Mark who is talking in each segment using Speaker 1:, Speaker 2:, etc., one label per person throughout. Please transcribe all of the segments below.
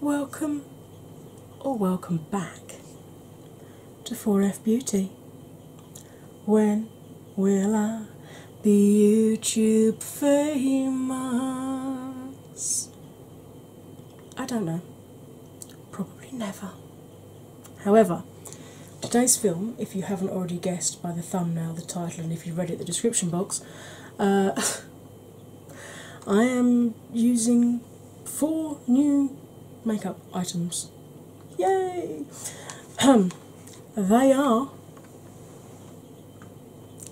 Speaker 1: Welcome or welcome back to 4F Beauty. When will I be YouTube famous? I don't know. Probably never. However, today's film, if you haven't already guessed by the thumbnail, the title, and if you have read it in the description box, uh, I am using four new makeup items. Yay! they are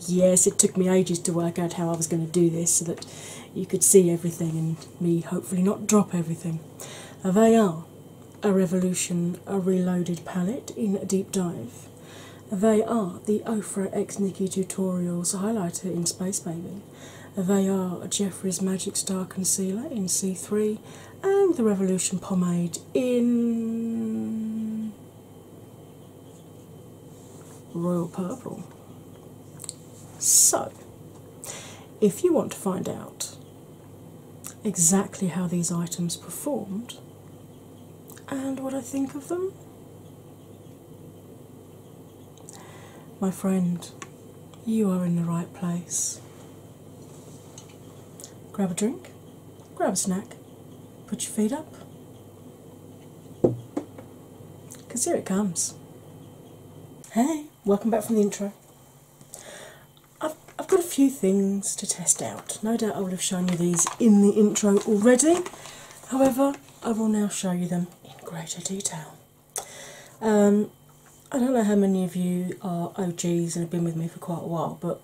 Speaker 1: Yes, it took me ages to work out how I was going to do this so that you could see everything and me hopefully not drop everything. Uh, they are a Revolution, a reloaded palette in a deep dive. They are the Ofra X Nikki Tutorials highlighter in Space Baby. They are a Jeffrey's Magic Star Concealer in C3 and the Revolution Pomade in royal purple. So, if you want to find out exactly how these items performed and what I think of them, my friend, you are in the right place. Grab a drink grab a snack, put your feet up, because here it comes. Hey, welcome back from the intro. I've, I've got a few things to test out. No doubt I would have shown you these in the intro already, however, I will now show you them in greater detail. Um, I don't know how many of you are OGs and have been with me for quite a while, but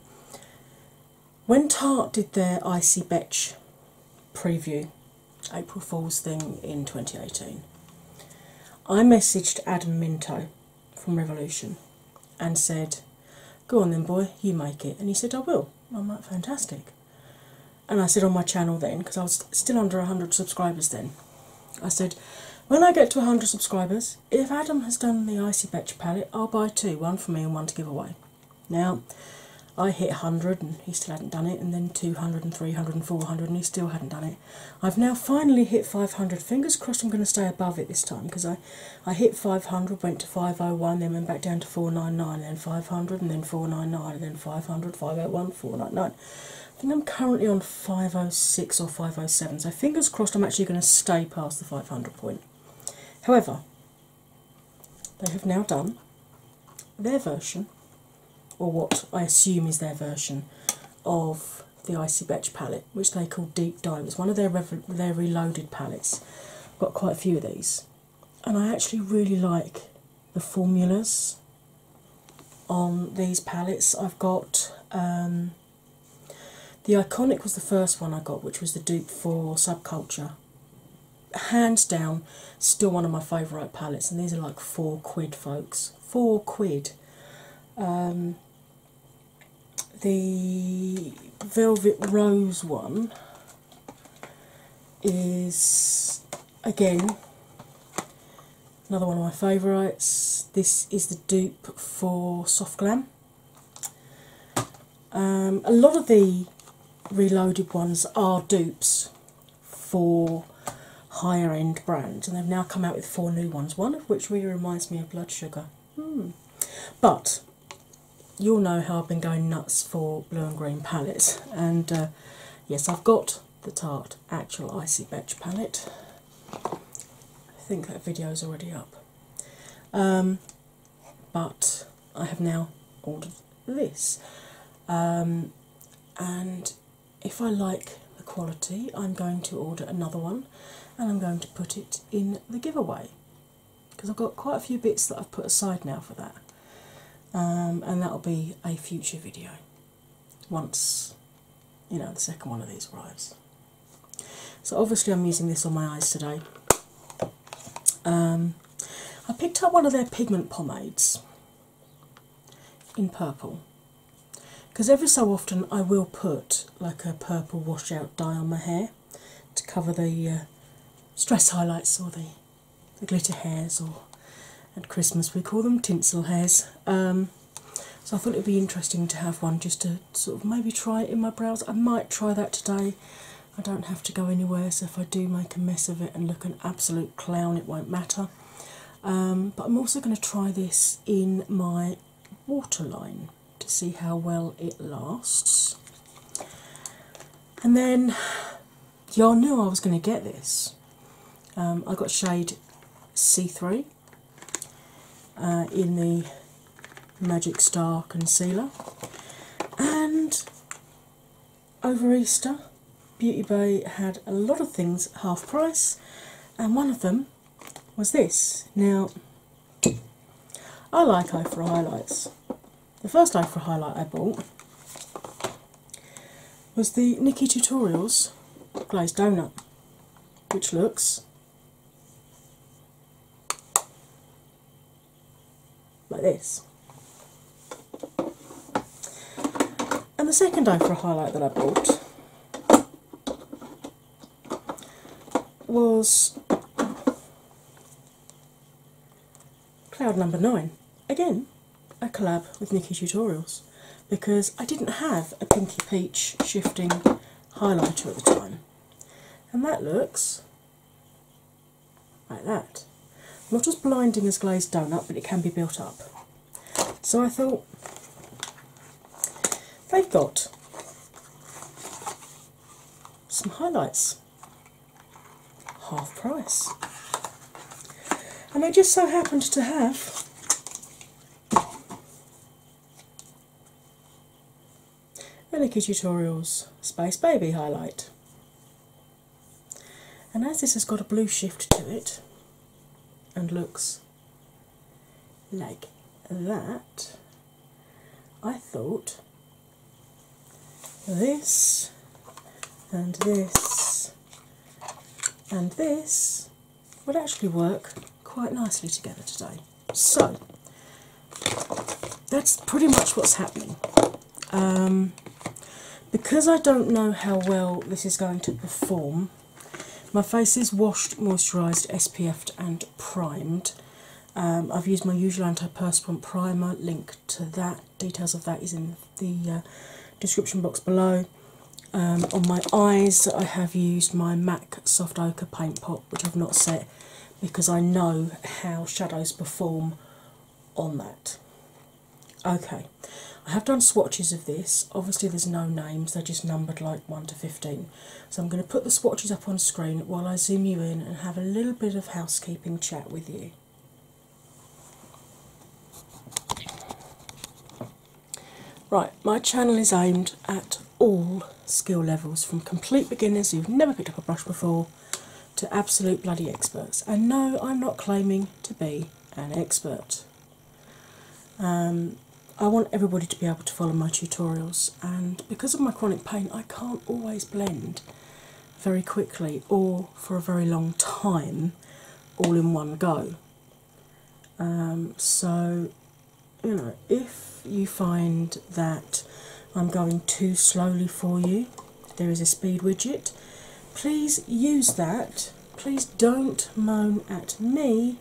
Speaker 1: when Tart did their Icy Betch preview, April Fool's thing in 2018, I messaged Adam Minto from Revolution and said, Go on then, boy, you make it. And he said, I will. And I'm like, fantastic. And I said on my channel then, because I was still under 100 subscribers then, I said, When I get to 100 subscribers, if Adam has done the Icy Betch palette, I'll buy two, one for me and one to give away. Now, I hit 100 and he still hadn't done it, and then 200 and 300 and 400 and he still hadn't done it. I've now finally hit 500. Fingers crossed I'm going to stay above it this time because I, I hit 500, went to 501, then went back down to 499, then 500, and then 499, and then 500, 501, 499. I think I'm currently on 506 or 507, so fingers crossed I'm actually going to stay past the 500 point. However, they have now done their version, or what I assume is their version, of the Icy Betch palette, which they call Deep Dive. It's one of their, their reloaded palettes. I've got quite a few of these. And I actually really like the formulas on these palettes. I've got um, the Iconic was the first one I got, which was the dupe for Subculture. Hands down, still one of my favourite palettes, and these are like four quid, folks. Four quid. Um, the Velvet Rose one is again another one of my favourites. This is the dupe for Soft Glam. Um, a lot of the reloaded ones are dupes for higher end brands, and they've now come out with four new ones, one of which really reminds me of Blood Sugar. Hmm. But you'll know how I've been going nuts for blue and green palettes, and uh, yes, I've got the Tarte Actual Icy Batch palette. I think that video is already up. Um, but I have now ordered this. Um, and if I like the quality, I'm going to order another one and I'm going to put it in the giveaway because I've got quite a few bits that I've put aside now for that. Um, and that'll be a future video once you know the second one of these arrives. So, obviously, I'm using this on my eyes today. Um, I picked up one of their pigment pomades in purple because every so often I will put like a purple washout dye on my hair to cover the uh, stress highlights or the, glitter hairs, or at Christmas we call them tinsel hairs. Um, so I thought it would be interesting to have one just to sort of maybe try it in my brows. I might try that today. I don't have to go anywhere, so if I do make a mess of it and look an absolute clown, it won't matter. Um, but I'm also going to try this in my waterline to see how well it lasts. And then y'all knew I was going to get this. Um, I got shade C3 uh, in the Magic Star Concealer. And over Easter, Beauty Bay had a lot of things half price, and one of them was this. Now, I like eye for highlights. The first eye for highlight I bought was the Nikki Tutorials Glazed Donut, which looks like this. And the second eye for a highlight that I bought was Cloud Number Nine. Again, a collab with Nikki Tutorials because I didn't have a Pinky Peach shifting highlighter at the time. And that looks like that. Not as blinding as glazed donut, but it can be built up. So I thought they've got some highlights, half price. And they just so happened to have Relicky Tutorials Space Baby highlight. And as this has got a blue shift to it and looks like that, I thought this and this and this would actually work quite nicely together today. So that's pretty much what's happening. Um, because I don't know how well this is going to perform, my face is washed, moisturised, SPF'd, and primed. Um, I've used my usual anti-perspirant primer, link to that, details of that is in the uh, description box below. Um, on my eyes, I have used my MAC Soft Ochre Paint Pot, which I've not set because I know how shadows perform on that. Okay, I have done swatches of this. Obviously, there's no names, they're just numbered like 1 to 15. So I'm going to put the swatches up on screen while I zoom you in and have a little bit of housekeeping chat with you. Right, my channel is aimed at all skill levels from complete beginners who've never picked up a brush before to absolute bloody experts. And no, I'm not claiming to be an expert. Um, I want everybody to be able to follow my tutorials, and because of my chronic pain, I can't always blend very quickly or for a very long time all in one go. Um, so, you know, if you find that I'm going too slowly for you. There is a speed widget. Please use that. Please don't moan at me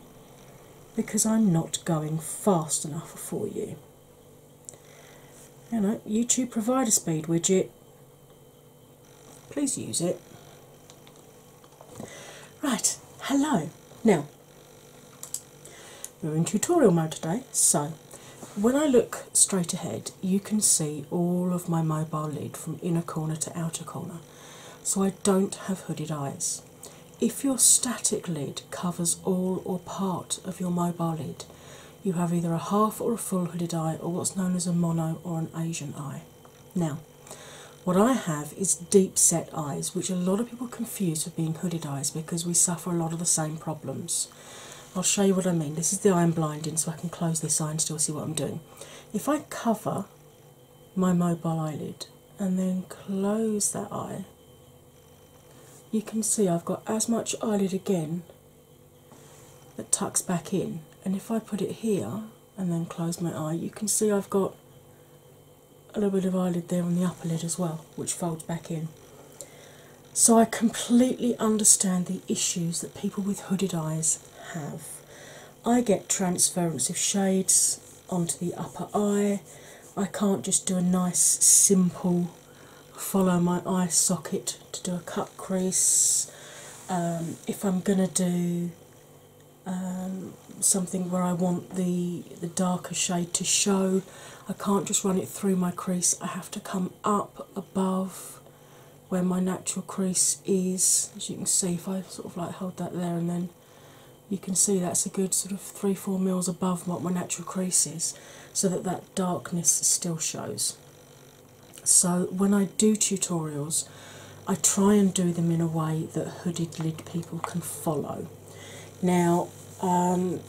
Speaker 1: because I'm not going fast enough for you. You know, YouTube provide a speed widget. Please use it. Right, hello. Now, we're in tutorial mode today. So, when I look straight ahead, you can see all of my mobile lid from inner corner to outer corner. So, I don't have hooded eyes. If your static lid covers all or part of your mobile lid, you have either a half or a full hooded eye, or what's known as a mono or an Asian eye. Now, what I have is deep set eyes, which a lot of people confuse with being hooded eyes because we suffer a lot of the same problems. I'll show you what I mean. This is the eye I'm iron blinding, so I can close this eye and still see what I'm doing. If I cover my mobile eyelid and then close that eye, you can see I've got as much eyelid again that tucks back in. And if I put it here and then close my eye, you can see I've got a little bit of eyelid there on the upper lid as well which folds back in. So I completely understand the issues that people with hooded eyes have. I get transference of shades onto the upper eye. I can't just do a nice, simple follow my eye socket to do a cut crease. Um, if I'm going to do um, something where I want the, the darker shade to show, I can't just run it through my crease, I have to come up above where my natural crease is. As you can see, if I sort of like hold that there and then you can see that's a good sort of three four mils above what my natural crease is so that that darkness still shows so when i do tutorials i try and do them in a way that hooded lid people can follow now, um,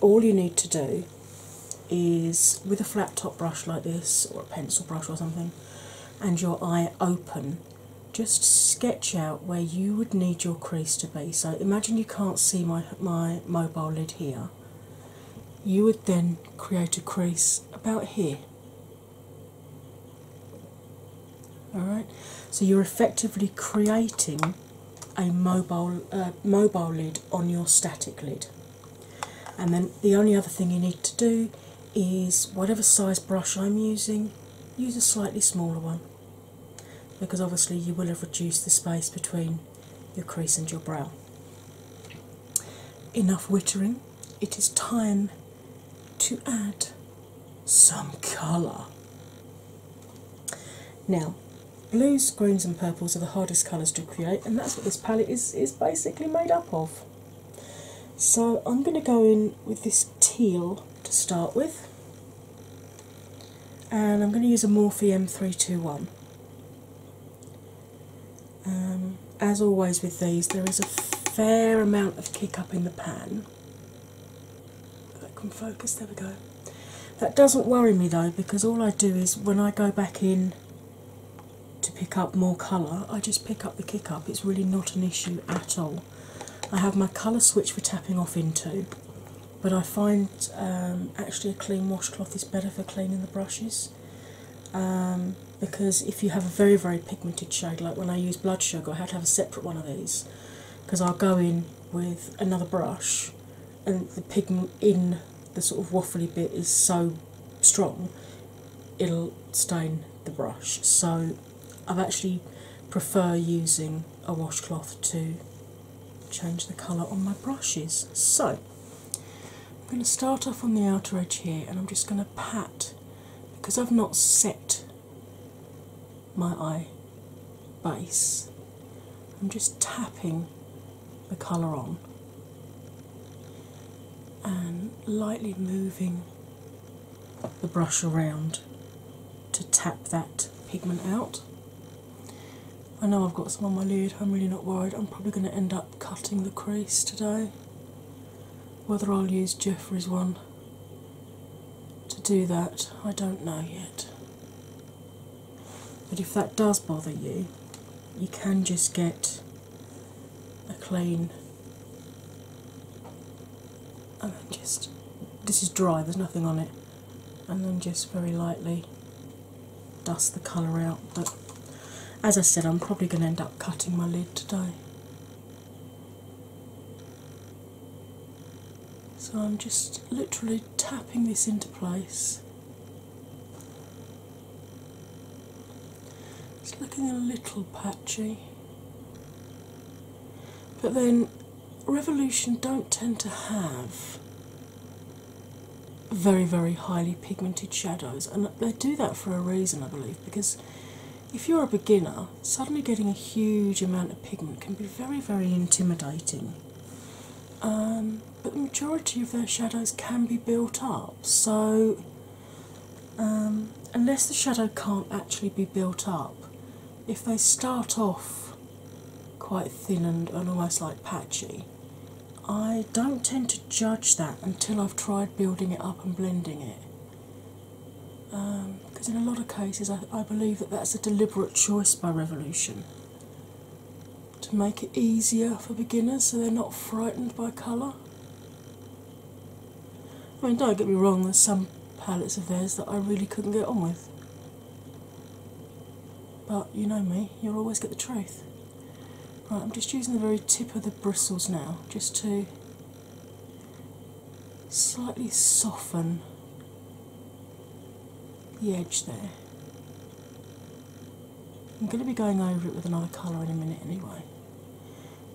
Speaker 1: all you need to do is with a flat top brush like this, or a pencil brush or something, and your eye open, just sketch out where you would need your crease to be. So imagine you can't see my, my mobile lid here. You would then create a crease about here. Alright, so you're effectively creating a mobile mobile lid on your static lid. And then the only other thing you need to do is whatever size brush I'm using, use a slightly smaller one because obviously you will have reduced the space between your crease and your brow. Enough wittering, it is time to add some colour. Now, Blues, greens, and purples are the hardest colours to create, and that's what this palette is, is basically made up of. So I'm going to go in with this teal to start with, and I'm going to use a Morphe M321. Um, as always with these, there is a fair amount of kick up in the pan. That can focus, there we go. That doesn't worry me though, because all I do is when I go back in to pick up more colour, I just pick up the kick up. It's really not an issue at all. I have my colour switch for tapping off into, but I find um, actually a clean washcloth is better for cleaning the brushes. Um, because if you have a very very pigmented shade like when I use blood sugar I have to have a separate one of these because I'll go in with another brush and the pigment in the sort of waffly bit is so strong it'll stain the brush. So I've actually prefer using a washcloth to change the colour on my brushes. So I'm going to start off on the outer edge here and I'm just going to pat because I've not set my eye base. I'm just tapping the colour on and lightly moving the brush around to tap that pigment out. I know I've got some on my lid, I'm really not worried. I'm probably going to end up cutting the crease today. Whether I'll use Jeffrey's one to do that, I don't know yet. But if that does bother you, you can just get a clean and then just this is dry, there's nothing on it, and then just very lightly dust the colour out. But as I said, I'm probably going to end up cutting my lid today. So I'm just literally tapping this into place it's looking a little patchy. But then, Revolution don't tend to have very, very highly pigmented shadows, and they do that for a reason, I believe, because if you're a beginner, suddenly getting a huge amount of pigment can be very, very intimidating. Um, but the majority of their shadows can be built up. So, um, unless the shadow can't actually be built up, if they start off quite thin and, and almost like patchy, I don't tend to judge that until I've tried building it up and blending it. Because um, in a lot of cases, I, I believe that that's a deliberate choice by Revolution to make it easier for beginners so they're not frightened by colour. I mean, don't get me wrong, there's some palettes of theirs that I really couldn't get on with. But you know me, you'll always get the truth. Right, I'm just using the very tip of the bristles now just to slightly soften the edge there. I'm going to be going over it with another colour in a minute anyway.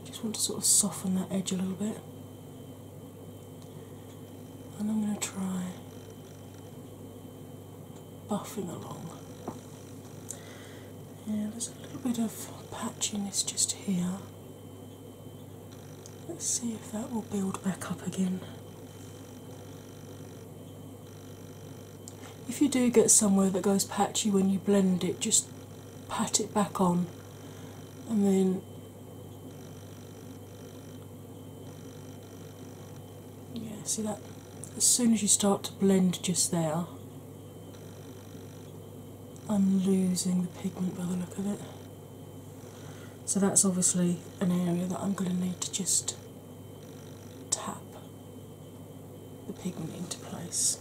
Speaker 1: Just want to sort of soften that edge a little bit. And I'm going to try buffing along. Yeah, there's a little bit of patchiness just here. Let's see if that will build back up again. If you do get somewhere that goes patchy when you blend it, just pat it back on and then yeah, see that as soon as you start to blend just there, I'm losing the pigment by the look of it. So that's obviously an area that I'm going to need to just tap the pigment into place.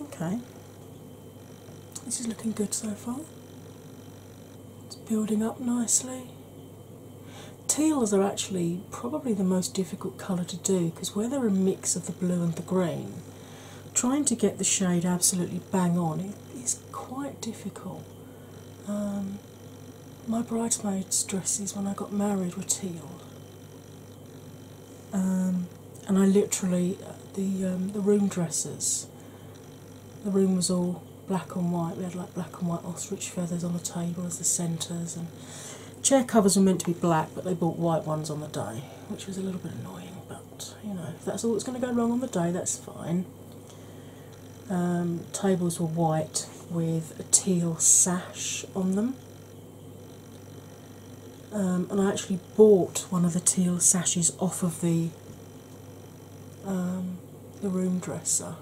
Speaker 1: Okay, this is looking good so far. It's building up nicely. Teals are actually probably the most difficult colour to do because where they're a mix of the blue and the green, trying to get the shade absolutely bang on. It is quite difficult. Um, my bridesmaids' dresses when I got married were teal, um, and I literally the um, the room dresses. The room was all black and white. We had like black and white ostrich feathers on the tables, the centres, and chair covers were meant to be black, but they bought white ones on the day, which was a little bit annoying. But you know, if that's all that's going to go wrong on the day, that's fine. Um, tables were white with a teal sash on them, um, and I actually bought one of the teal sashes off of the um, the room dresser.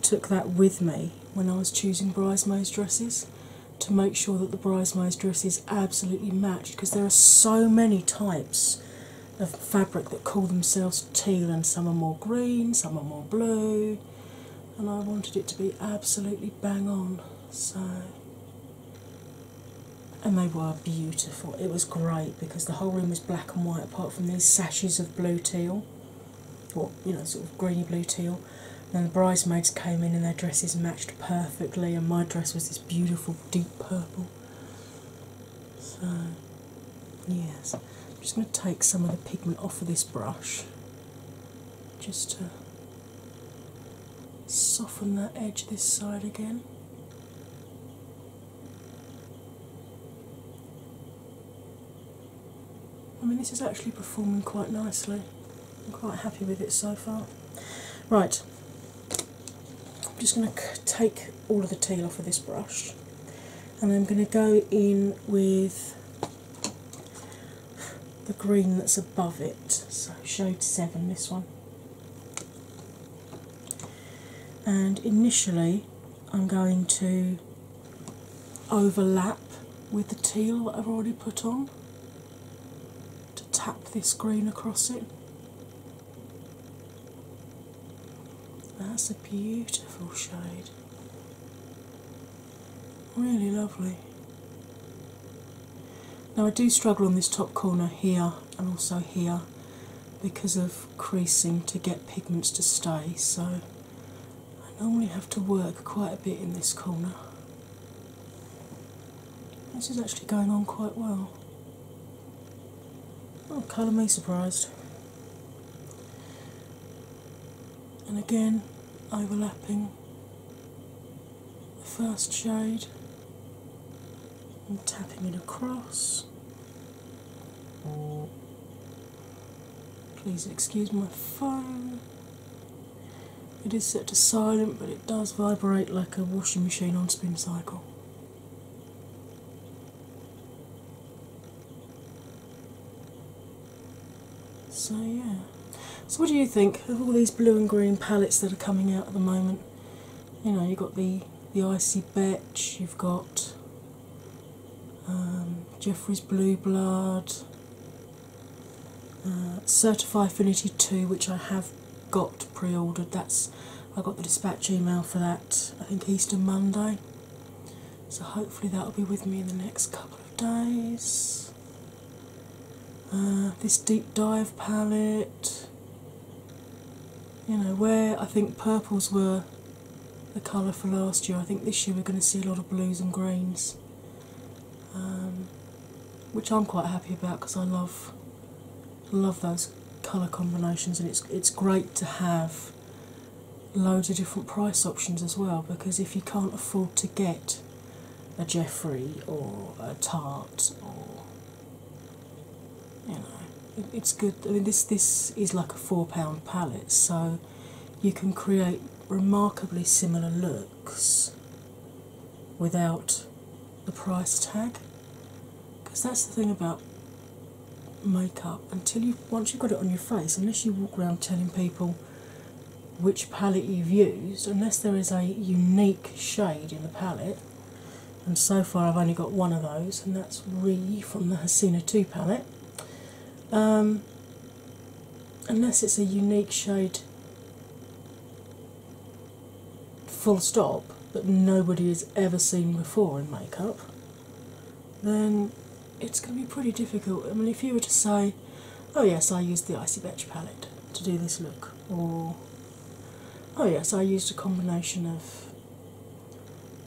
Speaker 1: Took that with me when I was choosing bridesmaids' dresses to make sure that the bridesmaids' dresses absolutely matched because there are so many types of fabric that call themselves teal, and some are more green, some are more blue, and I wanted it to be absolutely bang on. So, and they were beautiful. It was great because the whole room was black and white, apart from these sashes of blue teal, or you know, sort of greeny blue teal. And the bridesmaids came in, and their dresses matched perfectly, and my dress was this beautiful deep purple. So, yes, I'm just going to take some of the pigment off of this brush just to soften that edge this side again. I mean, this is actually performing quite nicely. I'm quite happy with it so far. Right, I'm just going to take all of the teal off of this brush and I'm going to go in with the green that's above it, so shade 7, this one. And initially, I'm going to overlap with the teal that I've already put on to tap this green across it. That's a beautiful shade. Really lovely. Now, I do struggle on this top corner here and also here because of creasing to get pigments to stay, so I normally have to work quite a bit in this corner. This is actually going on quite well colour me surprised. And again, overlapping the first shade and tapping it across. Please excuse my phone. It is set to silent, but it does vibrate like a washing machine on spin cycle. So, yeah. So, what do you think of all these blue and green palettes that are coming out at the moment? You know, you've got the, the Icy Betch, you've got um, Jeffrey's Blue Blood, uh, Certify Affinity 2, which I have got pre ordered. That's I got the dispatch email for that. I think Easter Monday, so hopefully that'll be with me in the next couple of days. Uh, this deep dive palette, you know, where I think purples were the colour for last year, I think this year we're going to see a lot of blues and greens, um, which I'm quite happy about because I love love those colour combinations, and it's it's great to have loads of different price options as well. Because if you can't afford to get a Jeffrey or a Tarte, or you know, it's good. I mean, this this is like a four pound palette, so you can create remarkably similar looks without the price tag. Because that's the thing about makeup. Until you once you've got it on your face, unless you walk around telling people which palette you've used, unless there is a unique shade in the palette, and so far I've only got one of those, and that's Re from the Hasina 2 palette. Um, unless it's a unique shade full stop that nobody has ever seen before in makeup then it's going to be pretty difficult. I mean, if you were to say, oh yes, I used the Icy Betch palette to do this look, or oh yes, I used a combination of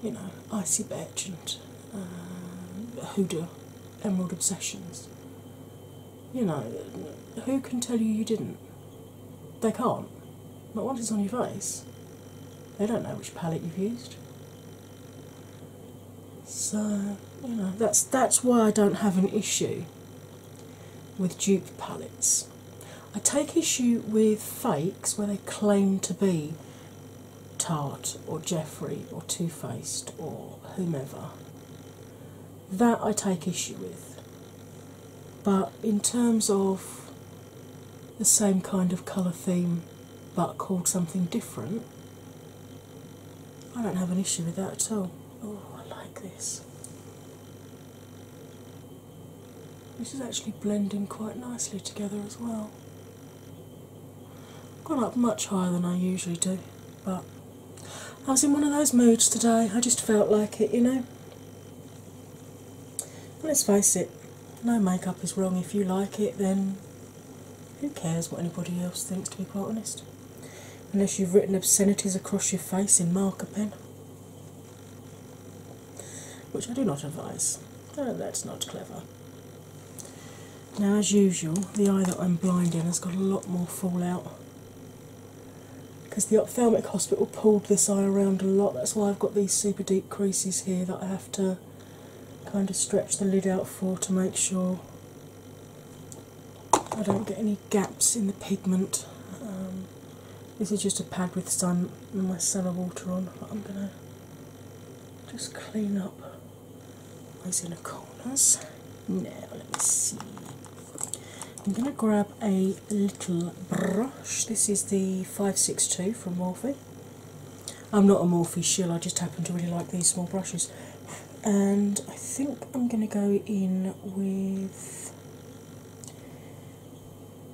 Speaker 1: you know, Icy Betch and uh, Huda Emerald Obsessions. You know, who can tell you you didn't? They can't. But once it's on your face, they don't know which palette you've used. So, you know, that's that's why I don't have an issue with dupe palettes. I take issue with fakes where they claim to be Tarte or Jeffrey or Too Faced or whomever. That I take issue with. But in terms of the same kind of colour theme but called something different, I don't have an issue with that at all. Oh, I like this. This is actually blending quite nicely together as well. Gone up much higher than I usually do, but I was in one of those moods today. I just felt like it, you know. Let's face it, no makeup is wrong. If you like it, then who cares what anybody else thinks, to be quite honest? Unless you've written obscenities across your face in marker pen, which I do not advise. Oh, that's not clever. Now, as usual, the eye that I'm blind in has got a lot more fallout because the ophthalmic hospital pulled this eye around a lot. That's why I've got these super deep creases here that I have have to kind of stretch the lid out for to make sure I don't get any gaps in the pigment. Um, this is just a pad with some and my cellar water on, but I'm going to just clean up those the corners. Now, let me see. I'm going to grab a little brush. This is the 562 from Morphe. I'm not a Morphe shell. I just happen to really like these small brushes. And I think I'm going to go in with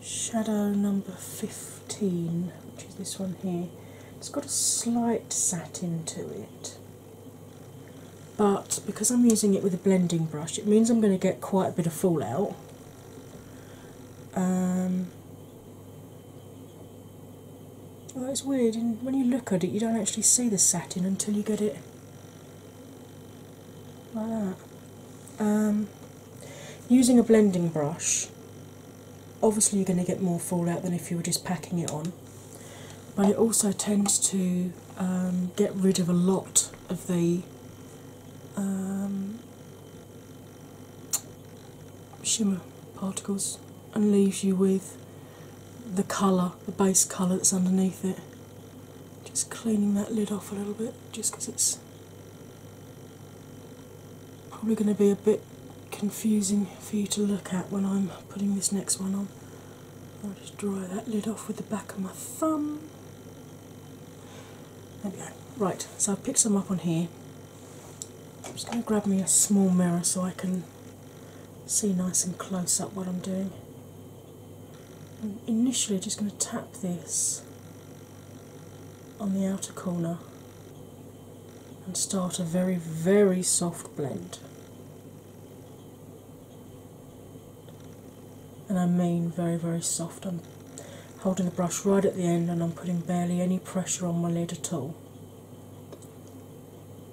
Speaker 1: shadow number 15, which is this one here. It's got a slight satin to it. But because I'm using it with a blending brush, it means I'm going to get quite a bit of fallout um, it's weird. And when you look at it, you don't actually see the satin until you get it like that. Um, using a blending brush, obviously you're going to get more fallout than if you were just packing it on, but it also tends to um, get rid of a lot of the um, shimmer particles and leaves you with the colour, the base colour that's underneath it. Just cleaning that lid off a little bit just because it's probably going to be a bit confusing for you to look at when I'm putting this next one on. I'll just dry that lid off with the back of my thumb. There we go. Right, so I've picked some up on here. I'm just going to grab me a small mirror so I can see nice and close up what I'm doing. I'm initially just going to tap this on the outer corner and start a very, very soft blend. And I mean very, very soft. i holding the brush right at the end, and I'm putting barely any pressure on my lid at all.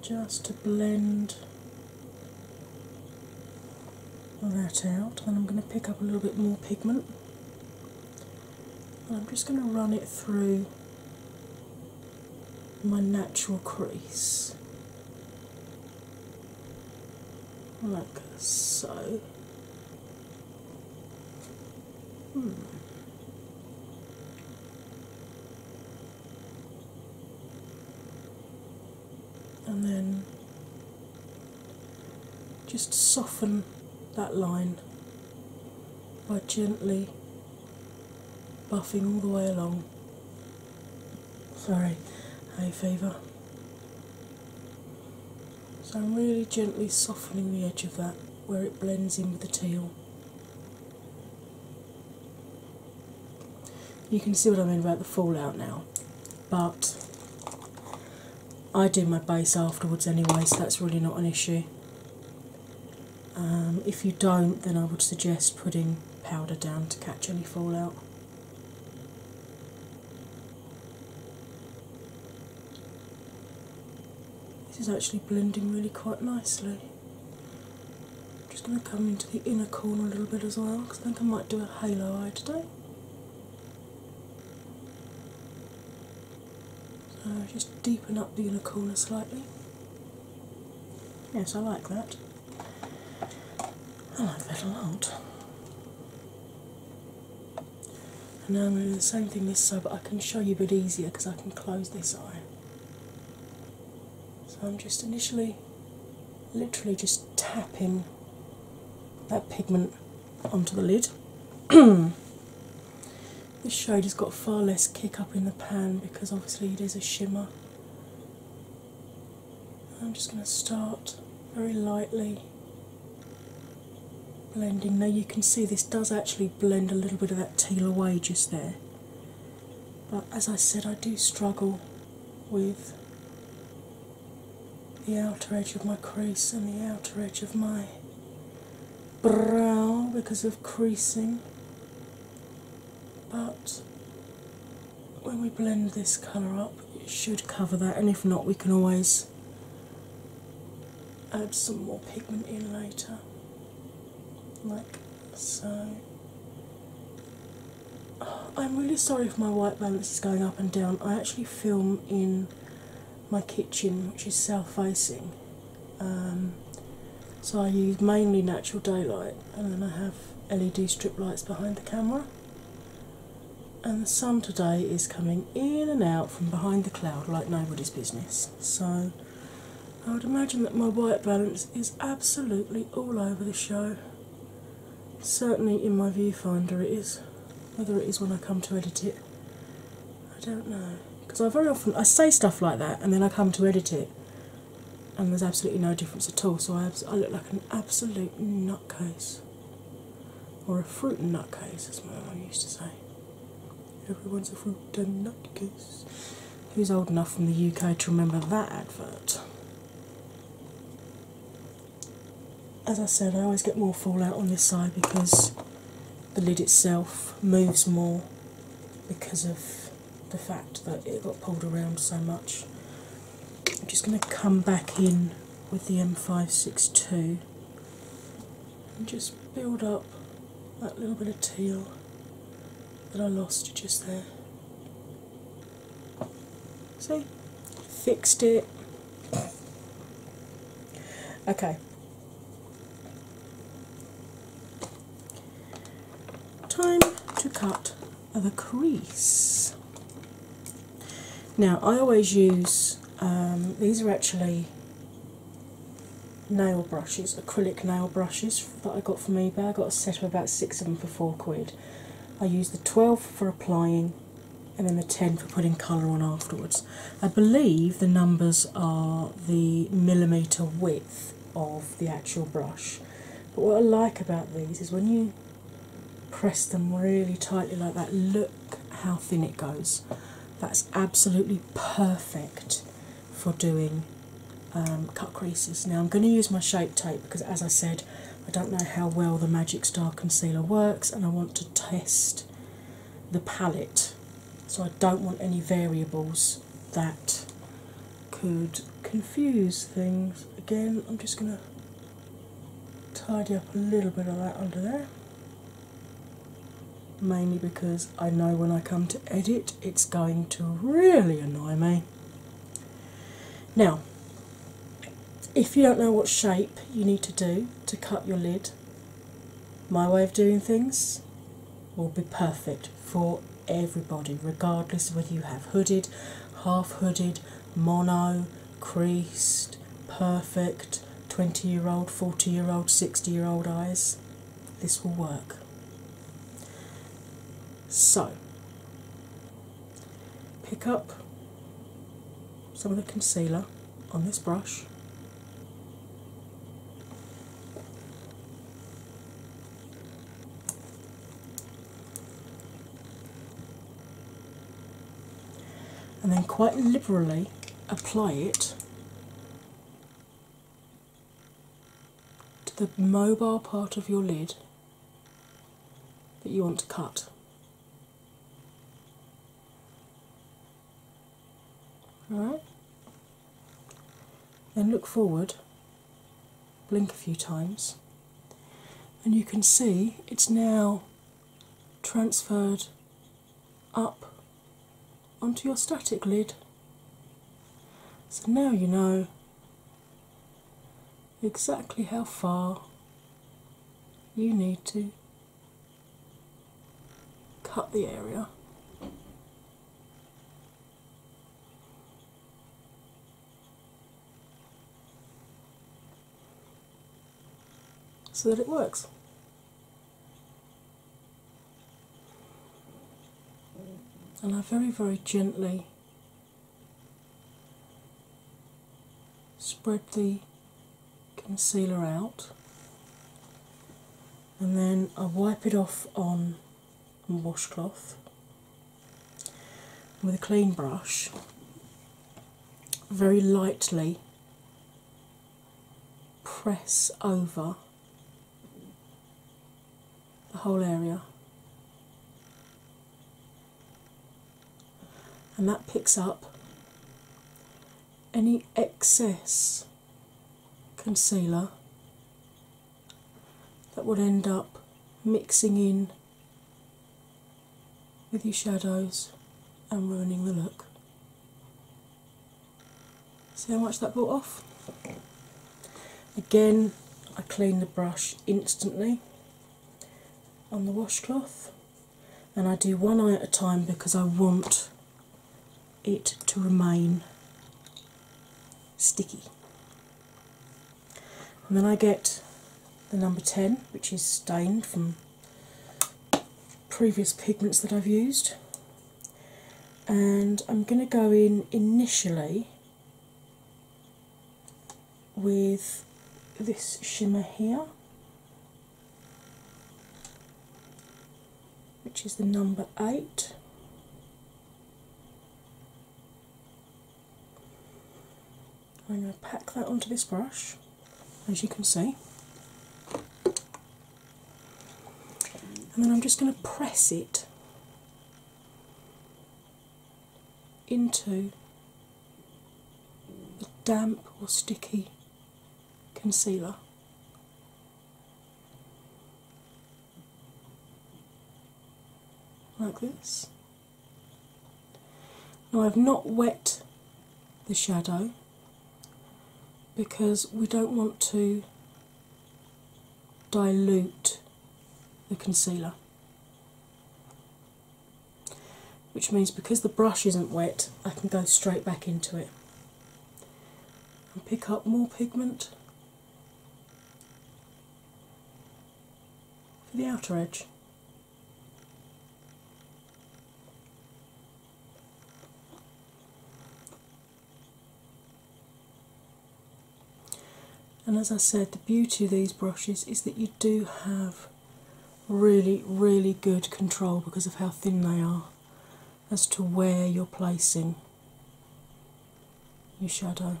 Speaker 1: Just to blend that out, Then I'm going to pick up a little bit more pigment, and I'm just going to run it through my natural crease like so Hmm. And then just soften that line by gently buffing all the way along. Sorry, hay fever. So I'm really gently softening the edge of that where it blends in with the tail. You can see what I mean about the fallout now, but I do my base afterwards anyway, so that's really not an issue. Um, if you don't, then I would suggest putting powder down to catch any fallout. This is actually blending really quite nicely. I'm just going to come into the inner corner a little bit as well because I think I might do a halo eye today. So just deepen up the inner corner slightly. Yes, I like that. I like that a lot now I'm um, going to do the same thing this side, but I can show you a bit easier because I can close this eye. So I'm just initially, literally just tapping that pigment onto the lid. this shade has got far less kick up in the pan because obviously it is a shimmer. I'm just going to start very lightly blending. Now you can see this does actually blend a little bit of that teal away just there. But as I said, I do struggle with the outer edge of my crease and the outer edge of my brow because of creasing. But when we blend this colour up, it should cover that, and if not, we can always add some more pigment in later, like so. I'm really sorry if my white balance is going up and down. I actually film in my kitchen, which is south facing, um, so I use mainly natural daylight, and then I have LED strip lights behind the camera. And the sun today is coming in and out from behind the cloud like nobody's business. So I would imagine that my white balance is absolutely all over the show. Certainly in my viewfinder it is. Whether it is when I come to edit it, I don't know. Because I very often I say stuff like that and then I come to edit it and there's absolutely no difference at all. So I, I look like an absolute nutcase. Or a fruit nutcase, as my mum used to say. Everyone's a fruit and nutcase. Who's old enough from the UK to remember that advert? As I said, I always get more fallout on this side because the lid itself moves more because of the fact that it got pulled around so much. I'm just going to come back in with the M562 and just build up that little bit of teal that I lost just there. See? Fixed it. Okay. Time to cut the crease. Now, I always use um, these are actually nail brushes, acrylic nail brushes that I got from eBay. I got a set of about six of them for four quid. I use the 12 for applying and then the 10 for putting colour on afterwards. I believe the numbers are the millimetre width of the actual brush. But what I like about these is when you press them really tightly like that, look how thin it goes. That's absolutely perfect for doing um, cut creases. Now, I'm going to use my shape tape because, as I said, I don't know how well the Magic Star concealer works and I want to test the palette. So, I don't want any variables that could confuse things. Again, I'm just going to tidy up a little bit of that under there mainly because I know when I come to edit it's going to really annoy me. Now, if you don't know what shape you need to do to cut your lid, my way of doing things will be perfect for everybody, regardless of whether you have hooded, half hooded, mono, creased, perfect, 20 year old, 40 year old, 60 year old eyes, this will work. So, pick up some of the concealer on this brush. And then quite liberally apply it to the mobile part of your lid that you want to cut. Alright? Then look forward, blink a few times, and you can see it's now transferred up onto your static lid. So now you know exactly how far you need to cut the area. So that it works. And I very, very gently spread the concealer out, and then I wipe it off on a washcloth with a clean brush, very lightly press over the whole area. And that picks up any excess concealer that would end up mixing in with your shadows and ruining the look. See how much that brought off? Again, I clean the brush instantly on the washcloth and I do one eye at a time because I want it to remain sticky. And then I get the number 10, which is stained from previous pigments that I've used, and I'm going to go in initially with this shimmer here, which is the number eight. I'm going to pack that onto this brush, as you can see and then I'm just going to press it into the damp or sticky concealer. Like this. Now, I've not wet the shadow because we don't want to dilute the concealer. Which means because the brush isn't wet, I can go straight back into it and pick up more pigment for the outer edge. And as I said, the beauty of these brushes is that you do have really, really good control because of how thin they are as to where you're placing your shadow.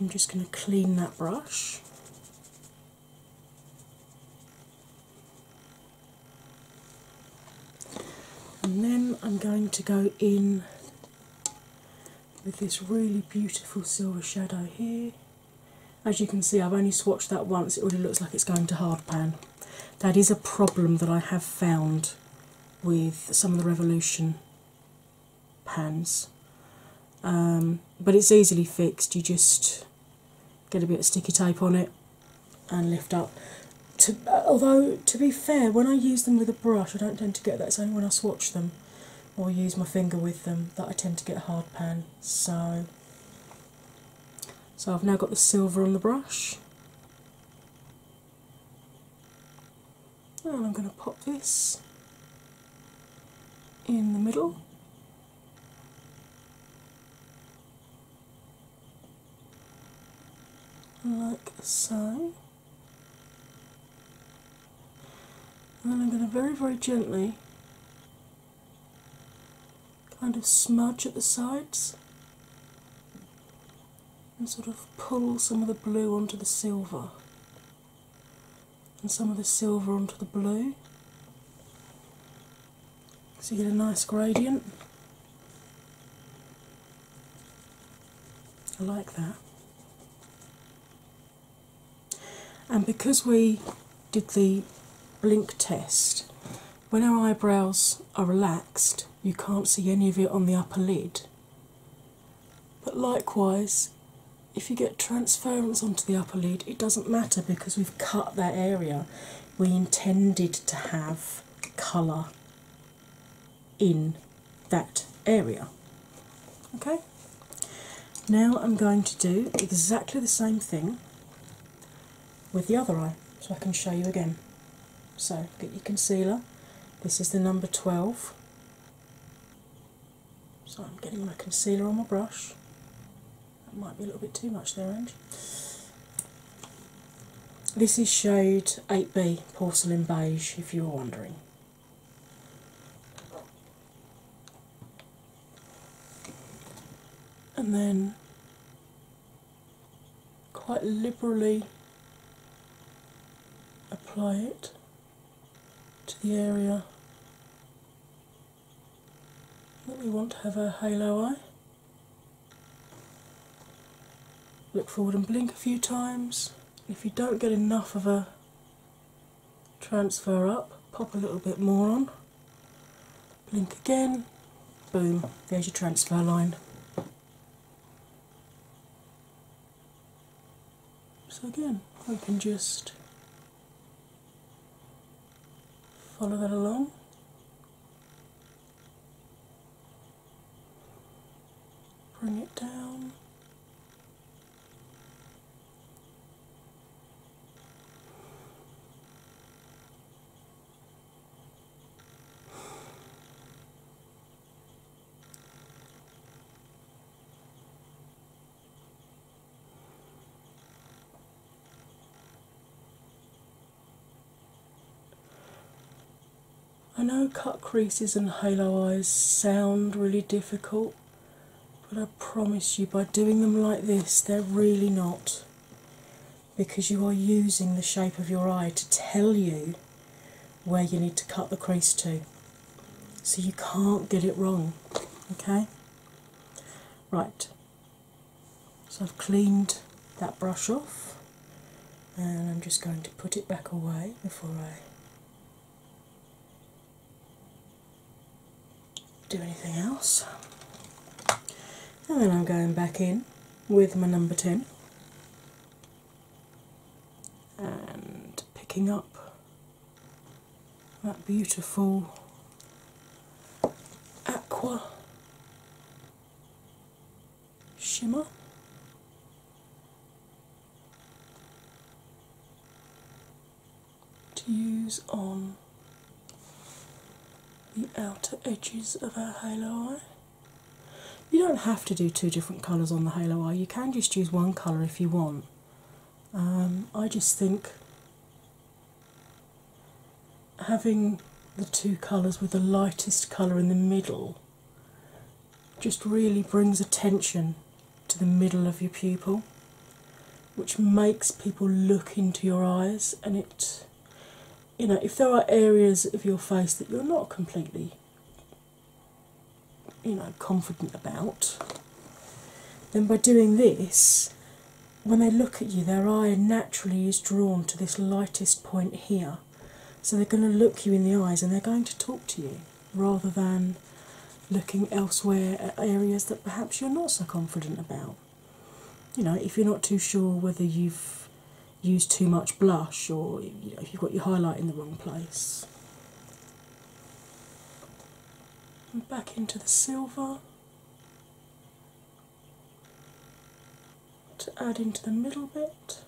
Speaker 1: I'm just going to clean that brush and then I'm going to go in with this really beautiful silver shadow here. As you can see, I've only swatched that once, it already looks like it's going to hard pan. That is a problem that I have found with some of the Revolution pans, um, but it's easily fixed. You just get a bit of sticky tape on it and lift up. Uh, although, to be fair, when I use them with a brush, I don't tend to get that. It's only when I swatch them or use my finger with them that I tend to get a hard pan. So, so I've now got the silver on the brush. And I'm going to pop this in the middle like so. And then I'm going to very, very gently kind of smudge at the sides and sort of pull some of the blue onto the silver and some of the silver onto the blue. So you get a nice gradient. I like that. And because we did the blink test, when our eyebrows are relaxed, you can't see any of it on the upper lid. But likewise, if you get transference onto the upper lid, it doesn't matter because we've cut that area. We intended to have colour in that area. Okay, now I'm going to do exactly the same thing with the other eye so I can show you again. So, get your concealer. This is the number 12. So, I'm getting my concealer on my brush. That might be a little bit too much there, Ange. This is shade 8B Porcelain Beige, if you were wondering. And then quite liberally apply it to the area that we want to have a halo eye. Look forward and blink a few times. If you don't get enough of a transfer up, pop a little bit more on, blink again, boom, there's your transfer line. So, again, I can just Follow that along. Bring it down. I know cut creases and halo eyes sound really difficult, but I promise you by doing them like this, they're really not. Because you are using the shape of your eye to tell you where you need to cut the crease to. So you can't get it wrong. Okay? Right, so I've cleaned that brush off and I'm just going to put it back away before I do anything else. And then I'm going back in with my number 10 and picking up that beautiful aqua shimmer. To use on the outer edges of our halo eye. You don't have to do two different colours on the halo eye, you can just use one colour if you want. Um, I just think having the two colours with the lightest colour in the middle just really brings attention to the middle of your pupil, which makes people look into your eyes. And it, you know, if there are areas of your face that you're not completely, you know, confident about, then by doing this, when they look at you, their eye naturally is drawn to this lightest point here. So they're going to look you in the eyes and they're going to talk to you rather than looking elsewhere at areas that perhaps you're not so confident about. You know, if you're not too sure whether you've used too much blush or if you've got your highlight in the wrong place. And back into the silver to add into the middle bit.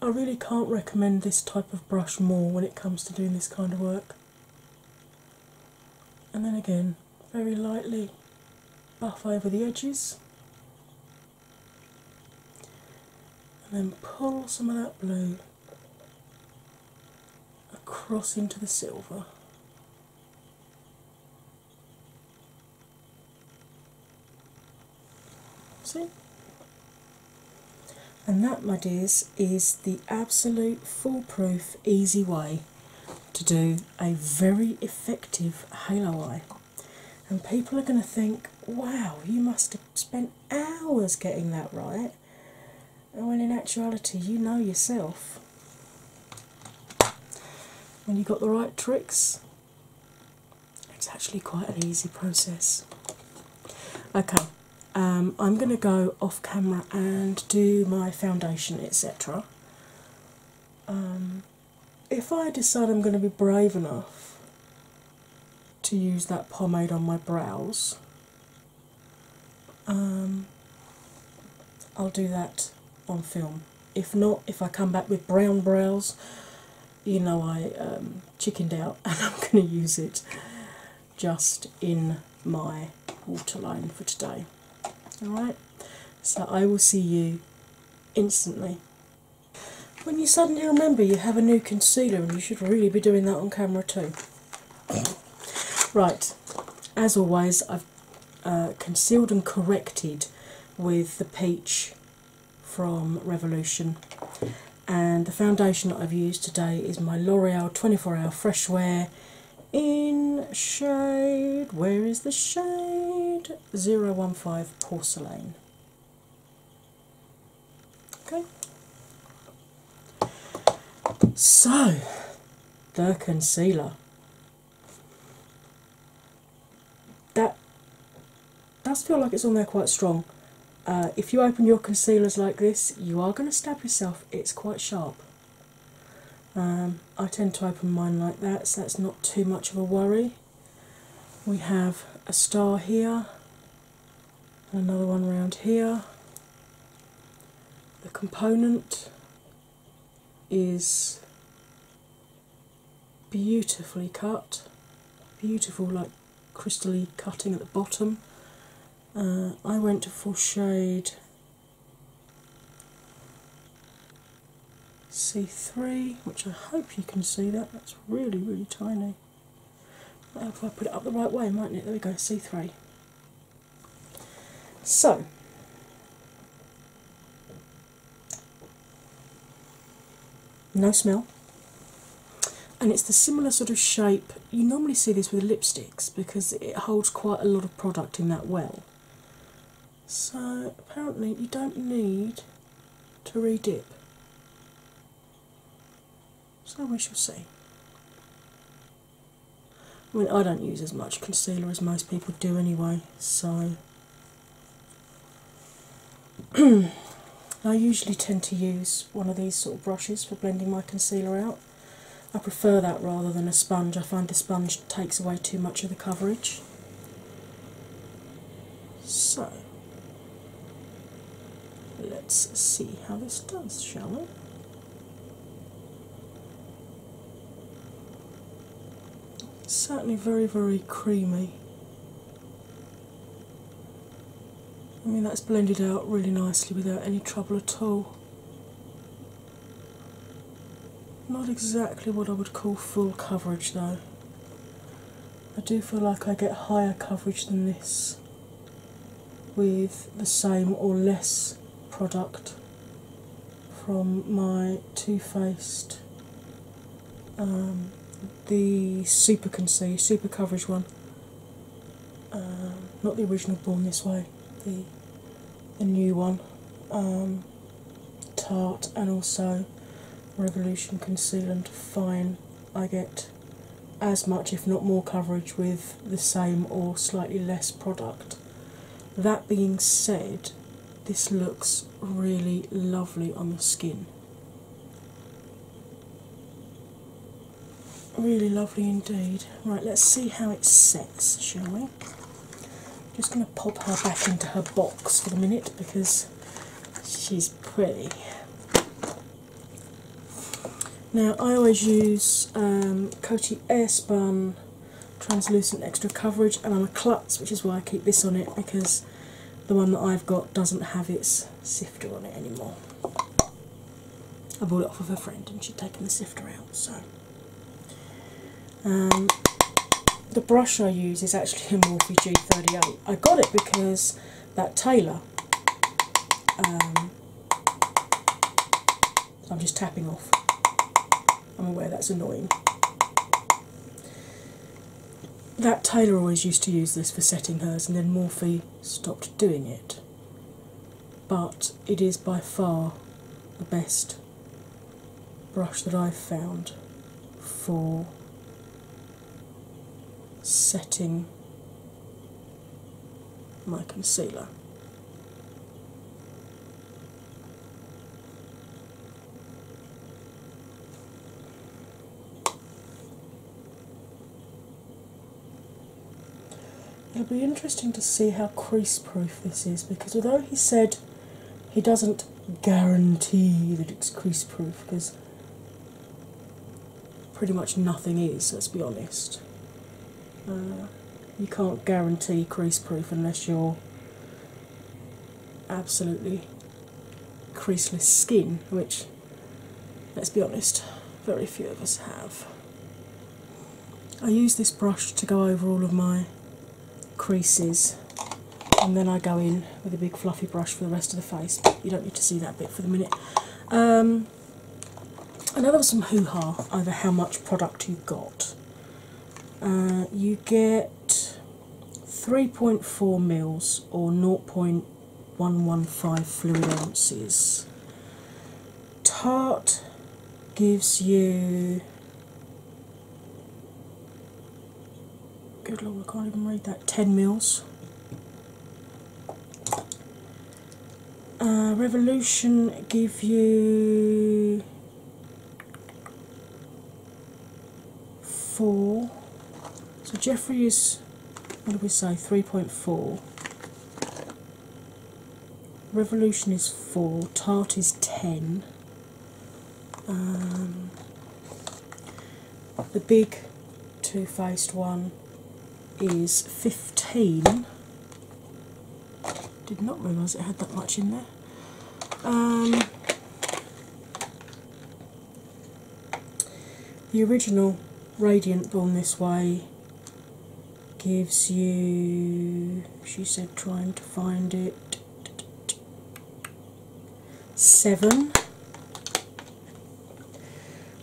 Speaker 1: I really can't recommend this type of brush more when it comes to doing this kind of work. And then again, very lightly buff over the edges and then pull some of that blue across into the silver. See? And that, my dears, is the absolute foolproof, easy way to do a very effective halo eye. And people are going to think, wow, you must have spent hours getting that right when oh, in actuality you know yourself when you've got the right tricks it's actually quite an easy process okay um, i'm going to go off camera and do my foundation etc um, if i decide i'm going to be brave enough to use that pomade on my brows. Um, I'll do that on film. If not, if I come back with brown brows, you know I um, chickened out and I'm going to use it just in my waterline for today. Alright, so I will see you instantly. When you suddenly remember you have a new concealer, and you should really be doing that on camera too. Right, as always, I've uh, concealed and corrected with the peach from Revolution, and the foundation I've used today is my L'Oreal 24 Hour Fresh Wear in shade. Where is the shade? 015 Porcelain. Okay. So, the concealer. That does feel like it's on there quite strong. Uh, if you open your concealers like this, you are going to stab yourself. It's quite sharp. Um, I tend to open mine like that, so that's not too much of a worry. We have a star here, another one around here. The component is beautifully cut, beautiful, like crystally cutting at the bottom. Uh, I went for shade C3, which I hope you can see that, that's really, really tiny. Uh, if I put it up the right way, mightn't it? There we go, C3. So, no smell, and it's the similar sort of shape. You normally see this with lipsticks because it holds quite a lot of product in that well. So, apparently, you don't need to re dip. So we shall see. I mean, I don't use as much concealer as most people do anyway, so I usually tend to use one of these sort of brushes for blending my concealer out. I prefer that rather than a sponge. I find the sponge takes away too much of the coverage. So Let's see how this does, shall we? certainly very, very creamy. I mean, that's blended out really nicely without any trouble at all. Not exactly what I would call full coverage though. I do feel like I get higher coverage than this with the same or less product from my Too Faced um, the Super Conceive, Super Coverage one. Um, not the original Born This Way, the the new one, um, Tarte, and also Revolution Conceal and Fine I get as much, if not more, coverage with the same or slightly less product. That being said, this looks really lovely on the skin. Really lovely indeed. Right, let's see how it sets, shall we? I'm just going to pop her back into her box for the minute because she's pretty. Now, I always use um, Coty Airspun Translucent Extra Coverage, and I'm a klutz, which is why I keep this on it because the one that I've got doesn't have its sifter on it anymore. I bought it off of a friend and she'd taken the sifter out, so. Um, the brush I use is actually a Morphe G38. I got it because that Taylor. Um, I'm just tapping off. I'm aware that's annoying. That Taylor always used to use this for setting hers, and then Morphy stopped doing it. But it is by far the best brush that I've found for setting my concealer. It'll be interesting to see how crease proof this is because although he said he doesn't guarantee that it's crease proof because pretty much nothing is, let's be honest. Uh, you can't guarantee crease proof unless you're absolutely creaseless skin, which, let's be honest, very few of us have. I use this brush to go over all of my creases and then I go in with a big fluffy brush for the rest of the face. You don't need to see that bit for the minute. Um, I know there was some hoo ha over how much product you got. Uh, you get 3.4 mils or 0.115 fluid ounces. Tarte gives you. Good lord, I can't even read that. 10 mils. Uh, Revolution give you four. So Jeffrey is what did we say? Three point four. Revolution is four. Tart is ten. Um, the big two-faced one is 15. Did not realise it had that much in there. Um, the original Radiant Born This Way gives you, she said, trying to find it, seven.